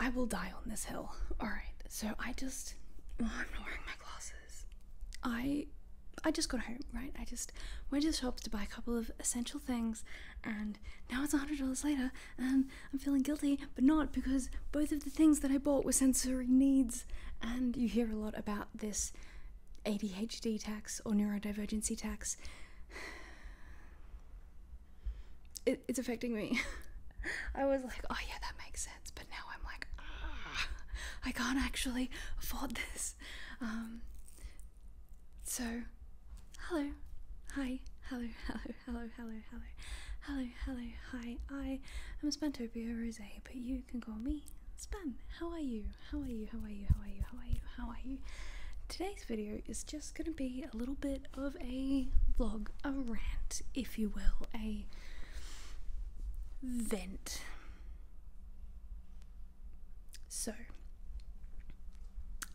I will die on this hill. Alright, so I just I'm not wearing my glasses. I I just got home, right? I just went to the shops to buy a couple of essential things and now it's a $100 later and I'm feeling guilty, but not because both of the things that I bought were sensory needs. And you hear a lot about this ADHD tax or neurodivergency tax it's affecting me. I was like, oh yeah, that makes sense. But now I'm like, ah, I can't actually afford this. Um, so, hello, hi, hello, hello, hello, hello, hello, hello, hello, hi. I am Spentopia Rose, but you can call me Span. How are you? How are you? How are you? How are you? How are you? How are you? Today today's video is just going to be a little bit of a vlog, a rant, if you will, a vent. So,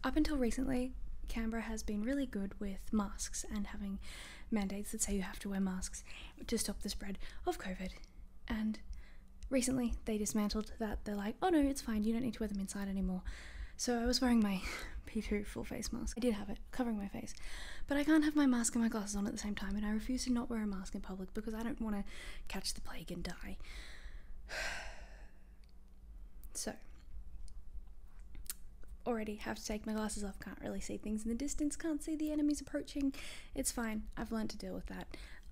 up until recently, Canberra has been really good with masks and having mandates that say you have to wear masks to stop the spread of COVID. And recently, they dismantled that. They're like, oh no, it's fine, you don't need to wear them inside anymore. So I was wearing my P2 full face mask. I did have it covering my face, but I can't have my mask and my glasses on at the same time, and I refuse to not wear a mask in public because I don't want to catch the plague and die. so, already have to take my glasses off, can't really see things in the distance, can't see the enemies approaching. It's fine, I've learned to deal with that.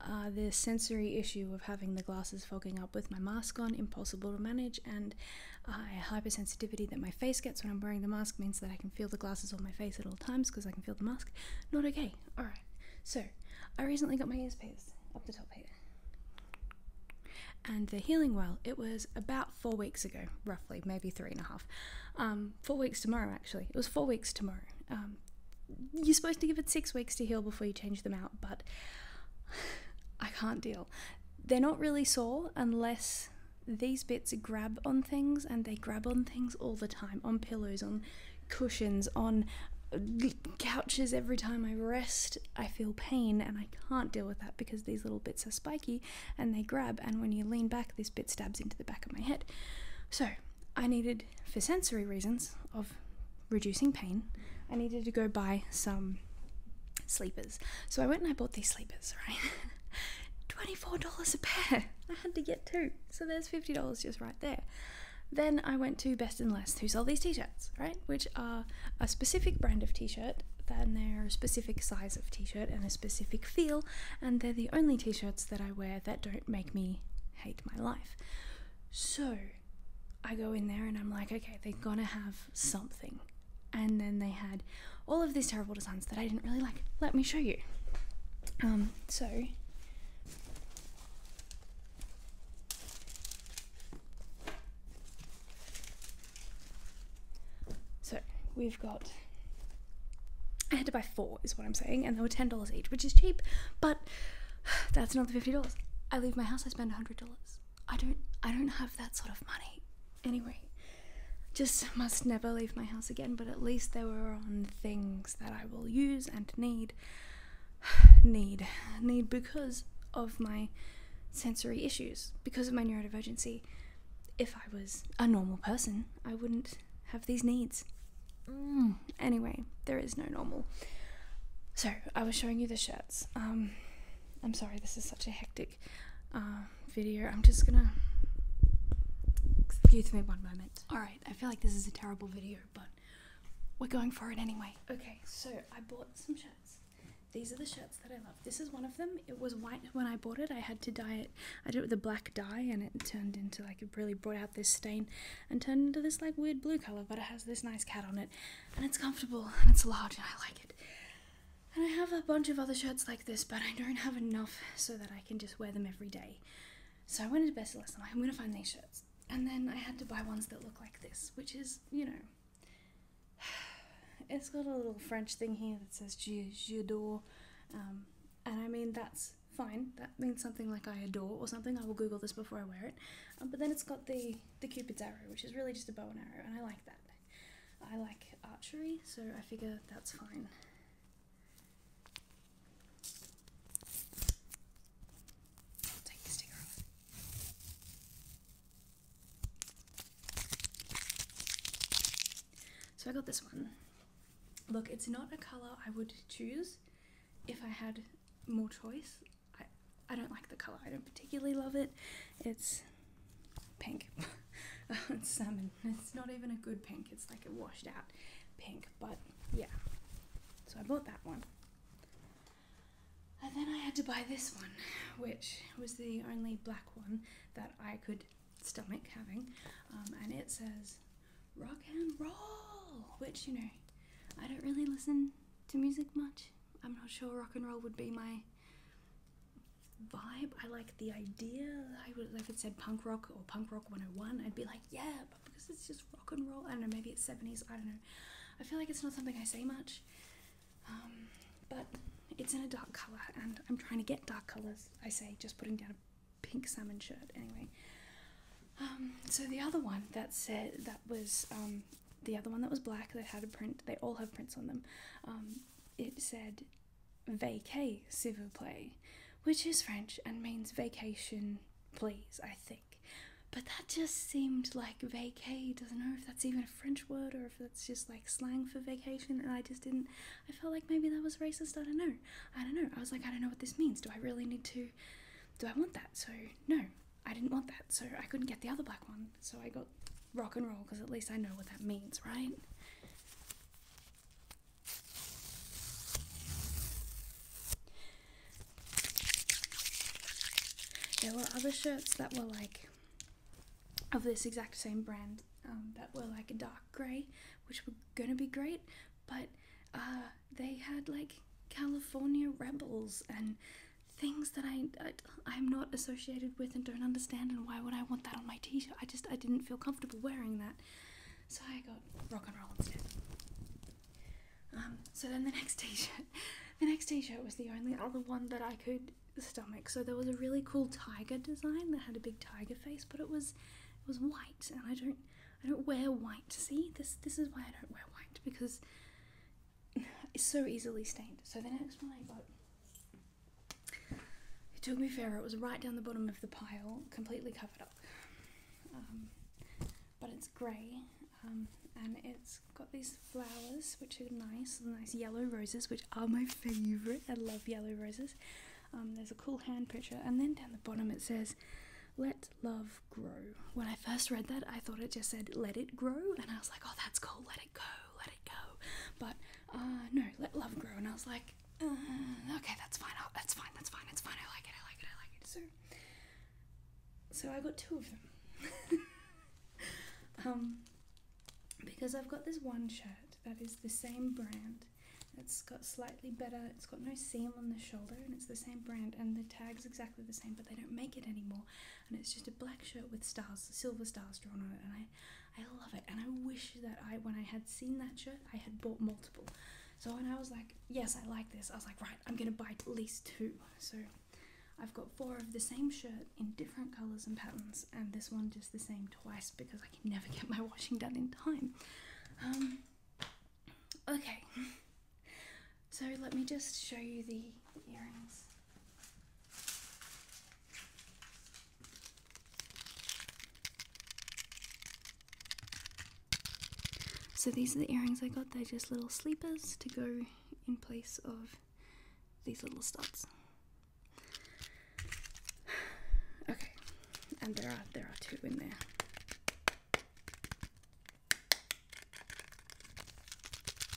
Uh, the sensory issue of having the glasses fogging up with my mask on, impossible to manage, and uh, hypersensitivity that my face gets when I'm wearing the mask means that I can feel the glasses on my face at all times because I can feel the mask. Not okay. Alright, so I recently got my ears pierced up the top here. And they're healing well. It was about four weeks ago, roughly, maybe three and a half. Um, four weeks tomorrow, actually. It was four weeks tomorrow. Um, you're supposed to give it six weeks to heal before you change them out, but I can't deal they're not really sore unless these bits grab on things and they grab on things all the time on pillows, on cushions, on uh, couches every time I rest. I feel pain and I can't deal with that because these little bits are spiky and they grab, and when you lean back, this bit stabs into the back of my head. So, I needed, for sensory reasons of reducing pain, I needed to go buy some sleepers. So I went and I bought these sleepers, right? $24 a pair. I had to get two. So there's $50 just right there. Then I went to Best and Less, who sell these t shirts, right? Which are a specific brand of t shirt, then they're a specific size of t shirt and a specific feel, and they're the only t shirts that I wear that don't make me hate my life. So I go in there and I'm like, okay, they're gonna have something. And then they had all of these terrible designs that I didn't really like. Let me show you. Um, so So we've got I had to buy four is what I'm saying, and they were ten dollars each, which is cheap, but that's not the fifty dollars. I leave my house, I spend a hundred dollars. I don't I don't have that sort of money. Anyway, just must never leave my house again, but at least they were on things that I will use and need need need because of my sensory issues, because of my neurodivergency. If I was a normal person, I wouldn't have these needs. Mm, anyway, there is no normal. So, I was showing you the shirts. Um, I'm sorry, this is such a hectic um, video. I'm just gonna. Excuse me one moment. Alright, I feel like this is a terrible video, but we're going for it anyway. Okay, so I bought some shirts. These are the shirts that I love. This is one of them. It was white when I bought it. I had to dye it. I did it with a black dye and it turned into like it really brought out this stain and turned into this like weird blue color, but it has this nice cat on it and it's comfortable and it's large and I like it. And I have a bunch of other shirts like this, but I don't have enough so that I can just wear them every day. So I went into Best List and I'm going to find these shirts. And then I had to buy ones that look like this, which is, you know, it's got a little French thing here that says je, j'adore. Um, and I mean, that's fine. That means something like I adore or something. I will Google this before I wear it. Um, but then it's got the, the Cupid's arrow, which is really just a bow and arrow, and I like that. I like archery, so I figure that's fine. take the sticker off. So I got this one. Look, it's not a colour I would choose if I had more choice. I, I don't like the color. I don't particularly love it. It's pink. Oh, it's salmon. It's not even a good pink. It's like a washed out pink. But yeah. So I bought that one. And then I had to buy this one, which was the only black one that I could stomach having. Um, and it says rock and roll, which, you know, I don't really listen to music much. I'm not sure rock and roll would be my vibe. I like the idea. I would like if it said punk rock or punk rock 101, I'd be like, yeah, but because it's just rock and roll. I don't know, maybe it's 70s, I don't know. I feel like it's not something I say much. Um, but it's in a dark colour and I'm trying to get dark colours. I say just putting down a pink salmon shirt anyway. Um, so the other one that said that was um, the other one that was black that had a print, they all have prints on them, um, it said vacay, s'il vous plaît, which is French and means vacation, please, I think. But that just seemed like vacay. Doesn't know if that's even a French word or if that's just like slang for vacation. And I just didn't. I felt like maybe that was racist. I don't know. I don't know. I was like, I don't know what this means. Do I really need to? Do I want that? So no, I didn't want that. So I couldn't get the other black one. So I got rock and roll because at least I know what that means, right? There were other shirts that were like of this exact same brand um, that were like a dark grey, which were gonna be great, but uh, they had like California rebels and things that I, I am not associated with and don't understand, and why would I want that on my T-shirt? I just I didn't feel comfortable wearing that, so I got rock and roll instead. Um, so then the next T-shirt, the next T-shirt was the only other one that I could stomach. So there was a really cool tiger design that had a big tiger face, but it was it was white, and I don't I don't wear white. See, this this is why I don't wear white because it's so easily stained. So the next one I got it took me forever. It was right down the bottom of the pile, completely covered up. Um, but it's grey um, and it's got these flowers which are nice, nice yellow roses, which are my favourite. I love yellow roses. Um, there's a cool hand picture, and then down the bottom it says, Let love grow. When I first read that, I thought it just said, Let it grow, and I was like, Oh, that's cool, let it go let it go. But uh, no, let love grow. And I was like, uh, okay, that's fine. that's fine. That's fine. It's fine. I like it. I like it. I like it. So, so I got two of them. um, because I've got this one shirt that is the same brand. It's got slightly better, it's got no seam on the shoulder, and it's the same brand, and the tag's exactly the same, but they don't make it anymore and it's just a black shirt with stars, silver stars drawn on it, and I, I love it. And I wish that I, when I had seen that shirt, I had bought multiple. So when I was like, yes, I like this, I was like, right, I'm gonna buy at least two. So I've got four of the same shirt in different colors and patterns, and this one just the same twice because I can never get my washing done in time. Um, okay. So let me just show you the earrings. So these are the earrings I got. They're just little sleepers to go in place of these little studs. Okay, and there are there are two in there.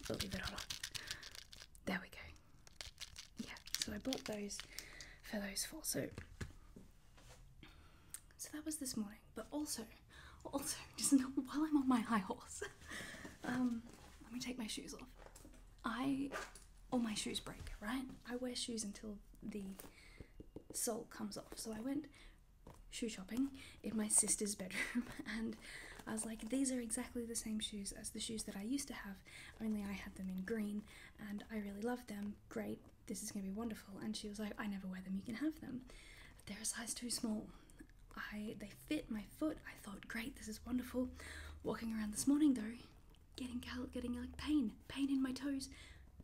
Believe it or not. There we go yeah, so I bought those for those four. So, so that was this morning. But also, also, just while I'm on my high horse, um, let me take my shoes off. I, all my shoes break, right? I wear shoes until the sole comes off. So I went shoe shopping in my sister's bedroom and I was like, these are exactly the same shoes as the shoes that I used to have, only I had them in green and I really loved them. Great, this is going to be wonderful. And she was like, I never wear them, you can have them. They're a size too small. I, they fit my foot. I thought, great, this is wonderful. Walking around this morning though, getting getting like pain, pain in my toes,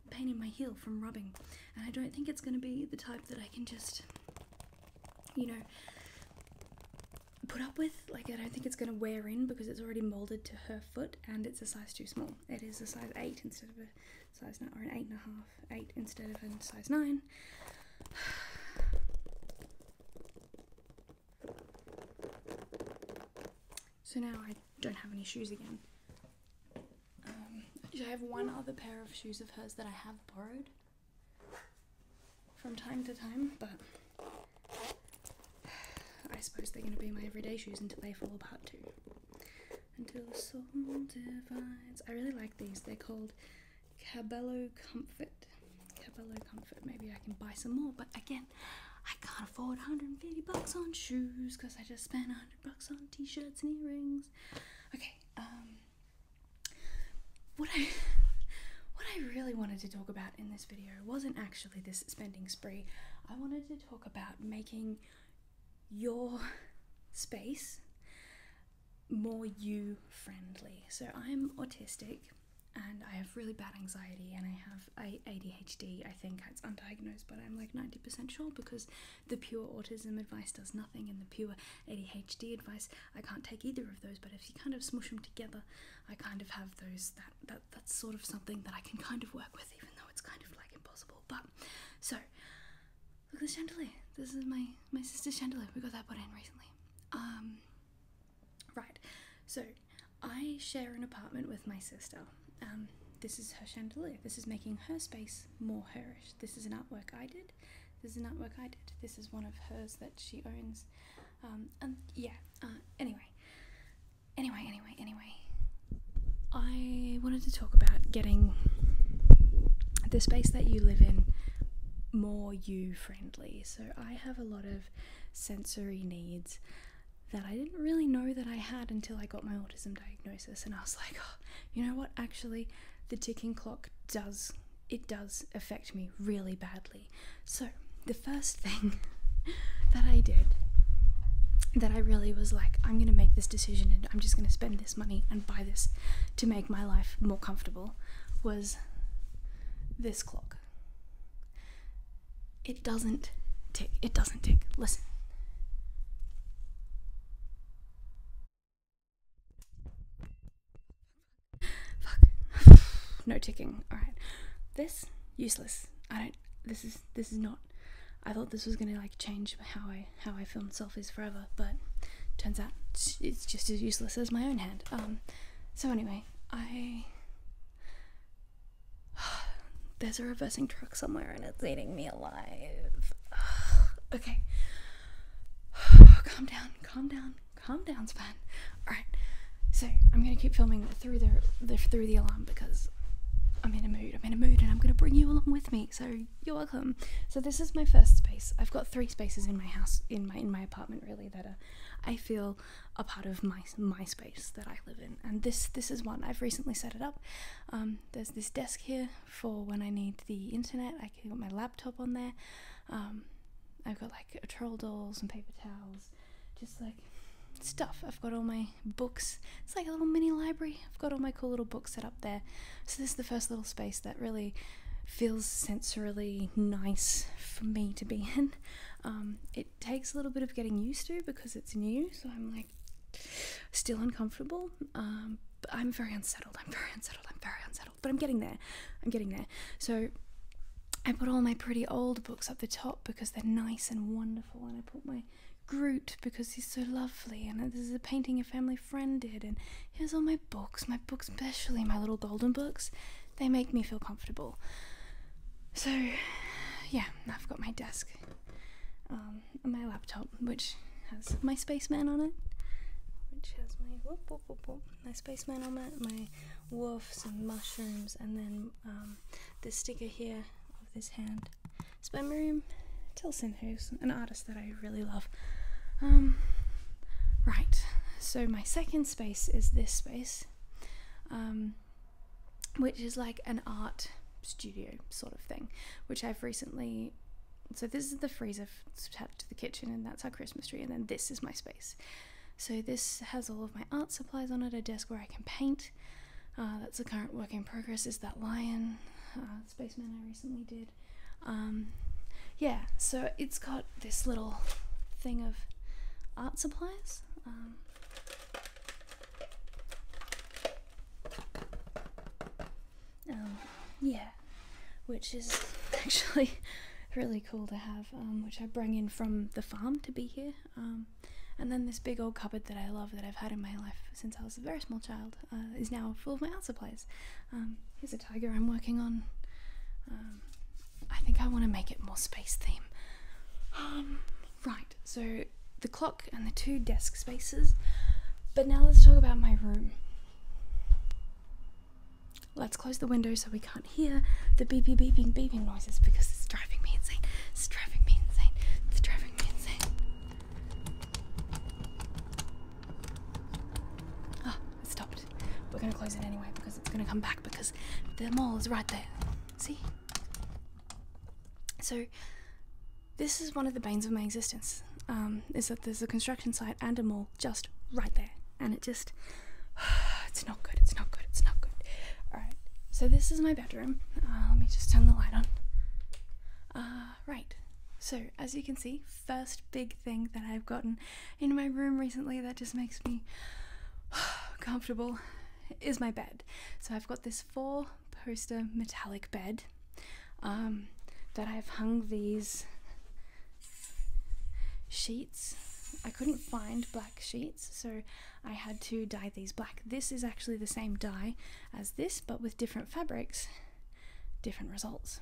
pain in my heel from rubbing. And I don't think it's going to be the type that I can just, you know, put up with. Like, I don't think it's going to wear in because it's already molded to her foot and it's a size too small. It is a size 8 instead of a size 9, or an eight and a half, eight instead of a size 9. So now I don't have any shoes again. Um, I have one other pair of shoes of hers that I have borrowed from time to time, but I suppose they're going to be my everyday shoes until they fall apart too. Until the soul divides. I really like these. They're called Cabello Comfort. Cabello Comfort. Maybe I can buy some more, but again, I can't afford 150 bucks on shoes because I just spent 100 bucks on t-shirts and earrings. Okay, um, what I what I really wanted to talk about in this video wasn't actually this spending spree. I wanted to talk about making your space more you friendly. So I'm autistic and I have really bad anxiety and I have ADHD. I think it's undiagnosed, but I'm like 90% sure because the pure autism advice does nothing and the pure ADHD advice I can't take either of those, but if you kind of smush them together, I kind of have those that, that that's sort of something that I can kind of work with, even though it's kind of like impossible. But so look at this chandelier. This is my my sister's chandelier. We got that put in recently. Um, right. So I share an apartment with my sister. Um, this is her chandelier. This is making her space more herish. This is an artwork I did. This is an artwork I did. This is one of hers that she owns. Um, yeah, uh, anyway. Anyway, anyway, anyway. I wanted to talk about getting the space that you live in more you friendly. So I have a lot of sensory needs that I didn't really know that I had until I got my autism diagnosis and I was like, oh, you know what? Actually, the ticking clock does it does affect me really badly. So, the first thing that I did that I really was like, I'm going to make this decision and I'm just going to spend this money and buy this to make my life more comfortable was this clock. It doesn't tick. It doesn't tick. Listen. Fuck. no ticking. Alright. This useless. I don't this is this is not I thought this was gonna like change how I how I film selfies forever, but turns out it's just as useless as my own hand. Um so anyway, I there's a reversing truck somewhere and it's eating me alive. okay. Calm down, calm down. Calm down, Sven. Alright. So I'm gonna keep filming through the, through the alarm because I'm in a mood. I'm in a mood and I'm gonna bring you along with me. So you're welcome. So this is my first space. I've got three spaces in my house in my in my apartment really that are I feel a part of my my space that I live in. And this this is one. I've recently set it up. Um, there's this desk here for when I need the internet. I can put my laptop on there. Um, I've got like a troll doll, some paper towels, just like stuff. I've got all my books. It's like a little mini library. I've got all my cool little books set up there. So this is the first little space that really feels sensorily nice for me to be in. Um, it takes a little bit of getting used to because it's new, so I'm like still uncomfortable. Um, but I'm very unsettled. I'm very unsettled. I'm very unsettled. But I'm getting there. I'm getting there. So I put all my pretty old books up the top because they're nice and wonderful, and I put my Groot because he's so lovely, and this is a painting a family friend did, and here's all my books, my books, especially my little golden books. They make me feel comfortable. So, yeah, I've got my desk um, my laptop, which has my spaceman on it, which has my whoop, whoop, whoop, my spaceman on it, my wolves and mushrooms, and then um, this sticker here of this hand. It's by Miriam Tilson, who's an artist that I really love. Um, right, so my second space is this space, um, which is like an art studio sort of thing, which I've recently so this is the freezer attached to the kitchen, and that's our Christmas tree. And then this is my space. So this has all of my art supplies on it, a desk where I can paint. Uh, that's the current work in progress. Is that lion, uh, spaceman I recently did? Um, yeah, so it's got this little thing of art supplies. Um, um, yeah, which is actually really cool to have. Um, which I bring in from the farm to be here. Um, and then this big old cupboard that I love that I've had in my life since I was a very small child uh, is now full of my art supplies. Um, here's a tiger I'm working on. I think I want to make it more space theme. right, so the clock and the two desk spaces. But now let's talk about my room. Let's close the window so we can't hear the beepy beeping beeping noises because it's driving me insane. It's driving me insane. It's driving me insane. Ah, oh, it stopped. We're gonna close it anyway because it's gonna come back because the mall is right there. See? So this is one of the banes of my existence. Um, is that there's a construction site and a mall just right there. And it just it's not good. It's not good. It's not good. All right. So this is my bedroom. Uh, let me just turn the light on. Uh, right. So as you can see, first big thing that I've gotten in my room recently that just makes me comfortable is my bed. So I've got this four poster metallic bed um, that I've hung these sheets. I couldn't find black sheets, so I had to dye these black. This is actually the same dye as this, but with different fabrics, different results.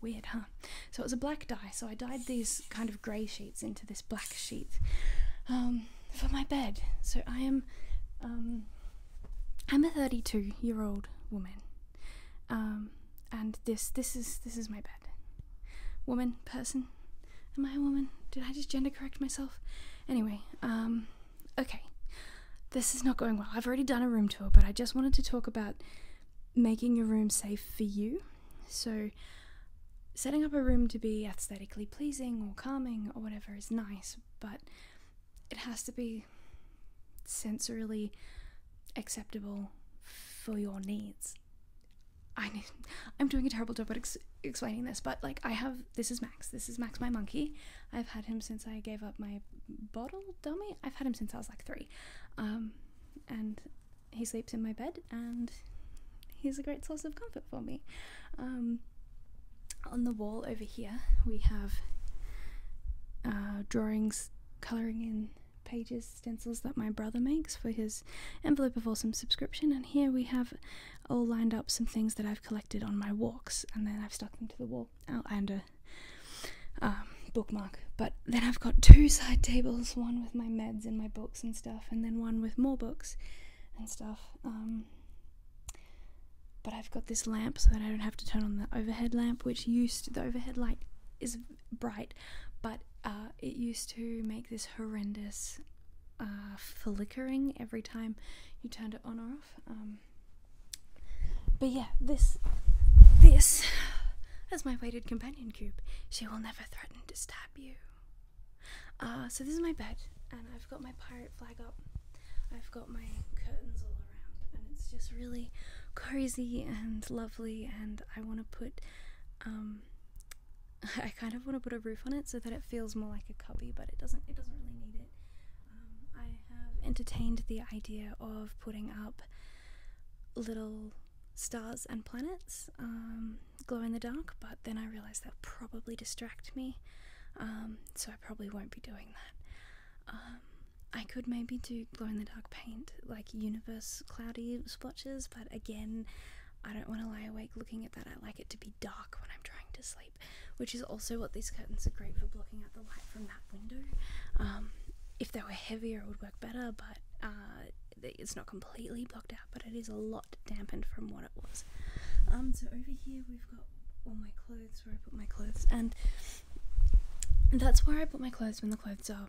Weird, huh? So it was a black dye, so I dyed these kind of grey sheets into this black sheet um, for my bed. So I am, um, I'm a 32 year old woman. Um, and this this is this is my bed woman person. Am I a woman? Did I just gender correct myself? Anyway, um, okay. This is not going well. I've already done a room tour, but I just wanted to talk about making your room safe for you. So, setting up a room to be aesthetically pleasing or calming or whatever is nice, but it has to be sensorily acceptable for your needs. I am doing a terrible job at explaining this, but like I have this is Max. This is Max, my monkey. I've had him since I gave up my bottle dummy. I've had him since I was like three, um, and he sleeps in my bed, and he's a great source of comfort for me. Um, on the wall over here, we have uh, drawings, coloring in pages stencils that my brother makes for his envelope of awesome subscription and here we have all lined up some things that i've collected on my walks and then i've stuck them to the wall under oh, a um, bookmark but then i've got two side tables one with my meds and my books and stuff and then one with more books and stuff um, but i've got this lamp so that i don't have to turn on the overhead lamp which used the overhead light is bright, but uh, it used to make this horrendous uh, flickering every time you turned it on or off. Um, but yeah, this this is my weighted companion cube. She will never threaten to stab you. Uh, so this is my bed, and I've got my pirate flag up. I've got my curtains all around, and it's just really cozy and lovely. And I want to put um, I kind of want to put a roof on it so that it feels more like a cubby, but it doesn't. It doesn't really need it. Um, I have entertained the idea of putting up little stars and planets, um, glow in the dark, but then I realized that probably distract me, um, so I probably won't be doing that. I could maybe do glow in the dark paint, like universe cloudy splotches, but again, I don't want to lie awake looking at that. I like it to be dark when I'm trying to sleep, which is also what these curtains are great for blocking out the light from that window. Um, if they were heavier, it would work better, but uh, it's not completely blocked out, but it is a lot dampened from what it was. Um, so over here we've got all my clothes where I put my clothes, and that's where I put my clothes when the clothes are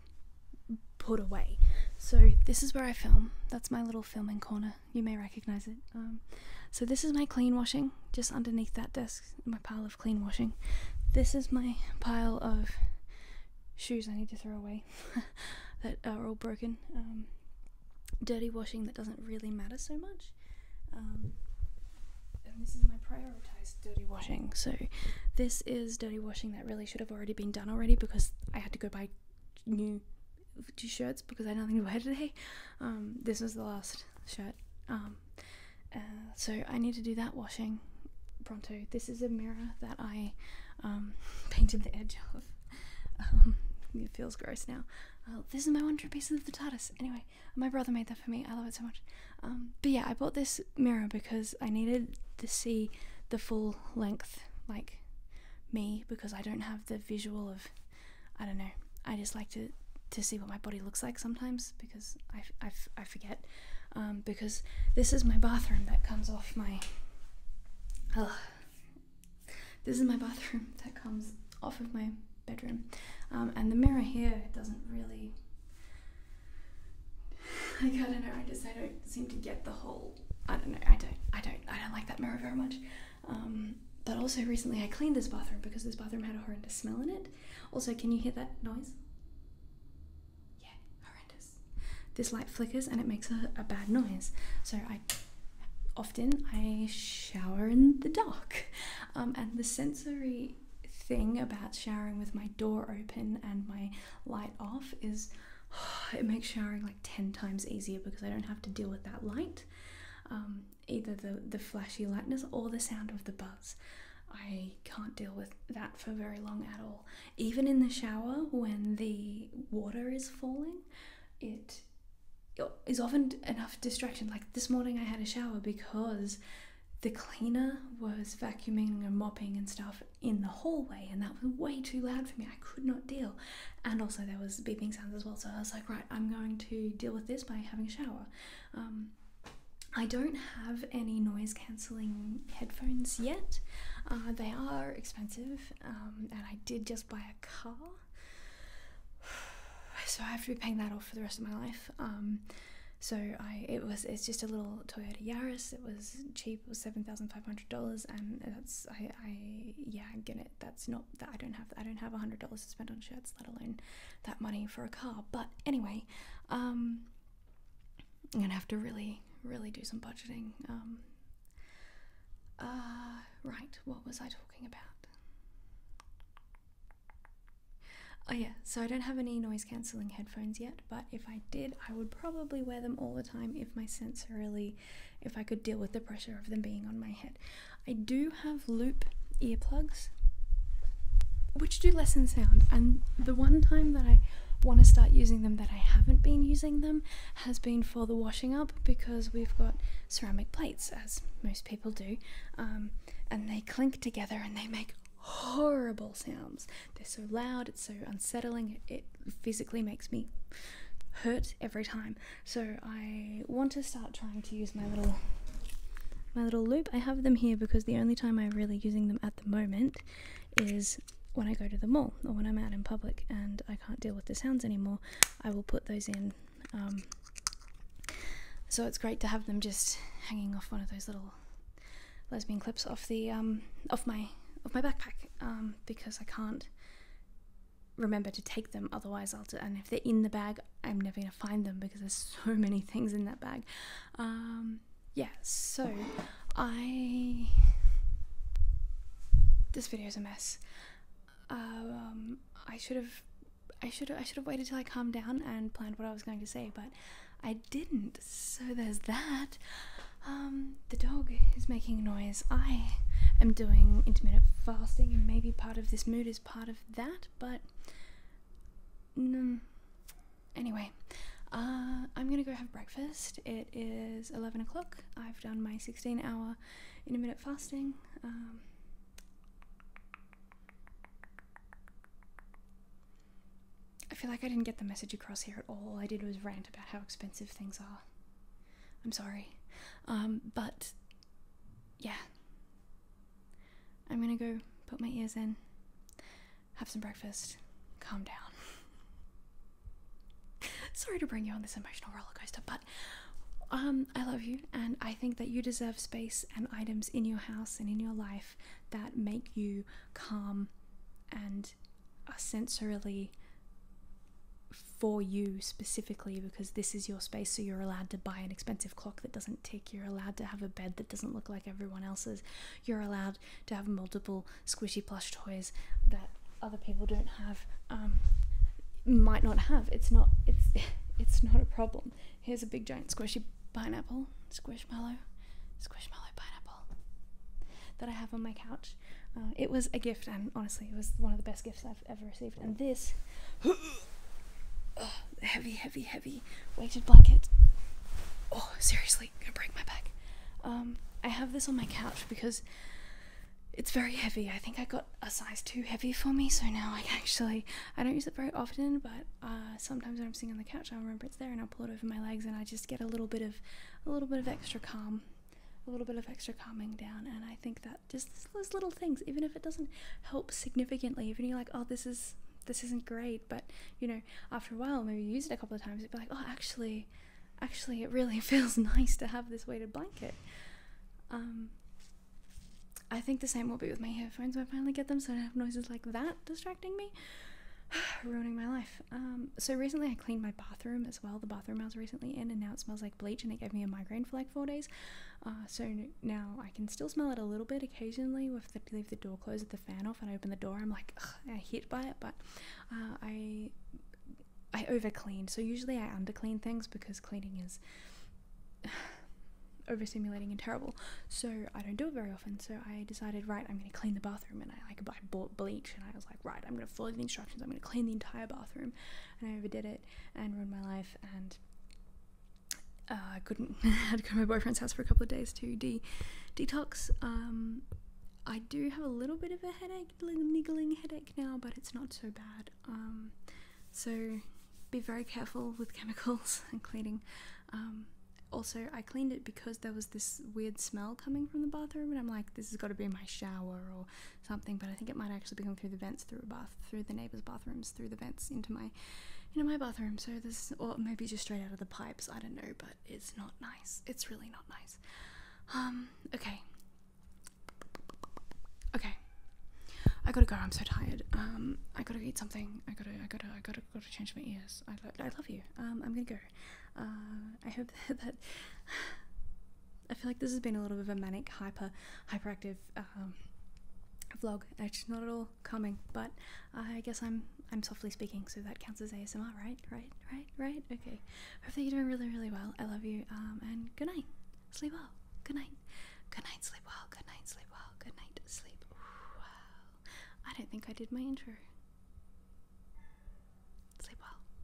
put away. So this is where I film. That's my little filming corner. You may recognize it. Um, so this is my clean washing. Just underneath that desk, my pile of clean washing. This is my pile of shoes I need to throw away that are all broken. Um, dirty washing that doesn't really matter so much. Um, and this is my prioritized dirty washing. So this is dirty washing that really should have already been done already because I had to go buy new t shirts because I don't think to wear today. Um, this was the last shirt. Um, uh, so I need to do that washing pronto. This is a mirror that I um, painted the edge of. it feels gross now. Uh, this is my one true piece of the TARDIS. Anyway, my brother made that for me. I love it so much. but yeah, I bought this mirror because I needed to see the full length, like me because I don't have the visual of, I don't know, I just like to, to see what my body looks like sometimes because I, I, I forget. Um, because this is my bathroom that comes off my. This is my bathroom that comes off of my bedroom. Um, and the mirror here doesn't really. Like, I don't know, I just I don't seem to get the whole I don't know. I don't. I don't. I don't like that mirror very much. Um, but also recently I cleaned this bathroom because this bathroom had a horrendous smell in it. Also, can you hear that noise? Yeah, horrendous. This light flickers and it makes a, a bad noise. So I often I shower in the dark, um, and the sensory thing about showering with my door open and my light off is it makes showering like 10 times easier because I don't have to deal with that light, um, either the, the flashy lightness or the sound of the buzz. I can't deal with that for very long at all. Even in the shower, when the water is falling, it is often enough distraction. Like this morning, I had a shower because the cleaner was vacuuming and mopping and stuff, in the hallway, and that was way too loud for me. I could not deal. And also, there was beeping sounds as well. So I was like, right, I'm going to deal with this by having a shower. Um, I don't have any noise cancelling headphones yet. Uh, they are expensive, um, and I did just buy a car, so I have to be paying that off for the rest of my life. Um, so I, it was, it's just a little Toyota Yaris. It was cheap. It was seven thousand five hundred dollars, and that's I, I yeah get it. That's not that I don't have I don't have a hundred dollars to spend on shirts, let alone that money for a car. But anyway, um, I'm gonna have to really really do some budgeting. Um, uh, right, what was I talking about? Oh, yeah, so I don't have any noise cancelling headphones yet, but if I did, I would probably wear them all the time if my sense really if I could deal with the pressure of them being on my head. I do have loop earplugs which do lessen sound, and the one time that I want to start using them that I haven't been using them has been for the washing up because we've got ceramic plates, as most people do, um, and they clink together and they make horrible sounds. They're so loud, it's so unsettling, it physically makes me hurt every time. So I want to start trying to use my little my little loop. I have them here because the only time I'm really using them at the moment is when I go to the mall or when I'm out in public and I can't deal with the sounds anymore. I will put those in. Um, so it's great to have them just hanging off one of those little lesbian clips off the um, off my off my backpack um, because I can't remember to take them otherwise i'll and if they're in the bag i'm never going to find them because there's so many things in that bag um, yeah so i this video is a mess um, i should have i should i should have waited till i calmed down and planned what i was going to say but i didn't so there's that um, the dog is making noise. I am doing intermittent fasting, and maybe part of this mood is part of that, but. Mm, anyway, uh, I'm gonna go have breakfast. It is 11 o'clock. I've done my 16 hour intermittent fasting. Um, I feel like I didn't get the message across here at All I did was rant about how expensive things are. I'm sorry. Um, but yeah. I'm gonna go put my ears in, have some breakfast, calm down. sorry to bring you on this emotional rollercoaster, but um, I love you, and I think that you deserve space and items in your house and in your life that make you calm and and are sensorily for you specifically because this is your space so you're allowed to buy an expensive clock that doesn't tick you're allowed to have a bed that doesn't look like everyone else's you're allowed to have multiple squishy plush toys that other people don't have um, might not have it's not it's it's not a problem here's a big giant squishy pineapple squishmallow squishmallow pineapple that i have on my couch uh, it was a gift, and honestly, it was one of the best gifts I've ever received. And this uh, heavy, heavy, heavy weighted blanket. Oh, seriously, gonna break my back. Um, I have this on my couch because it's very heavy. I think I got a size too heavy for me, so now I actually I don't use it very often, but uh, sometimes when I'm sitting on the couch, I remember it's there and I'll pull it over my legs, and I just get a little bit of a little bit of extra calm a little bit of extra calming down and i think that just those little things even if it doesn't help significantly even you're like oh this is this isn't great but you know after a while maybe you use it a couple of times it'd be like oh actually actually it really feels nice to have this weighted blanket um i think the same will be with my headphones when i finally get them so i don't have noises like that distracting me ruining my life um, so recently I cleaned my bathroom as well, the bathroom I was recently in, and now it smells like bleach, and it gave me a migraine for like four days. Uh, so now I can still smell it a little bit occasionally. If I leave the door closed with the fan off and open the door, I'm like hit by it, but uh, I I over clean. So usually I under clean things because cleaning is. overstimulating and terrible. So I don't do it very often. So I decided, right, I'm going to clean the bathroom, and I like I bought bleach, and I was like right, I'm gonna follow the instructions, I'm gonna clean the entire bathroom. And I overdid it and ruined my life and I uh, couldn't I had to go to my boyfriend's house for a couple of days to de detox. Um, I do have a little bit of a headache, little niggling headache now, but it's not so bad. Um, so be very careful with chemicals and cleaning. Um, also, I cleaned it because there was this weird smell coming from the bathroom, and I'm like, this has got to be my shower or something, but I think it might actually be going through the vents, through a bath, through the neighbors' bathrooms, through the vents into my, you know, my bathroom. So this, or maybe just straight out of the pipes. I don't know, but it's not nice. It's really not nice. Um. Okay. Okay. I gotta go. I'm so tired. Um. I gotta eat something. I gotta. I gotta. I gotta. I Gotta change my ears. I. Lo I love you. Um. I'm gonna go. Uh. I hope that. that I feel like this has been a little bit of a manic, hyper, hyperactive um, vlog. Actually, not at all calming, but I guess I'm I'm softly speaking, so that counts as ASMR, right? Right? Right? Right? Okay. Hopefully you're doing really, really well. I love you. Um, and good night. Sleep well. Good night. Good night. Sleep well. Good night. Sleep well. Good night. Sleep well. I don't think I did my intro. Sleep well.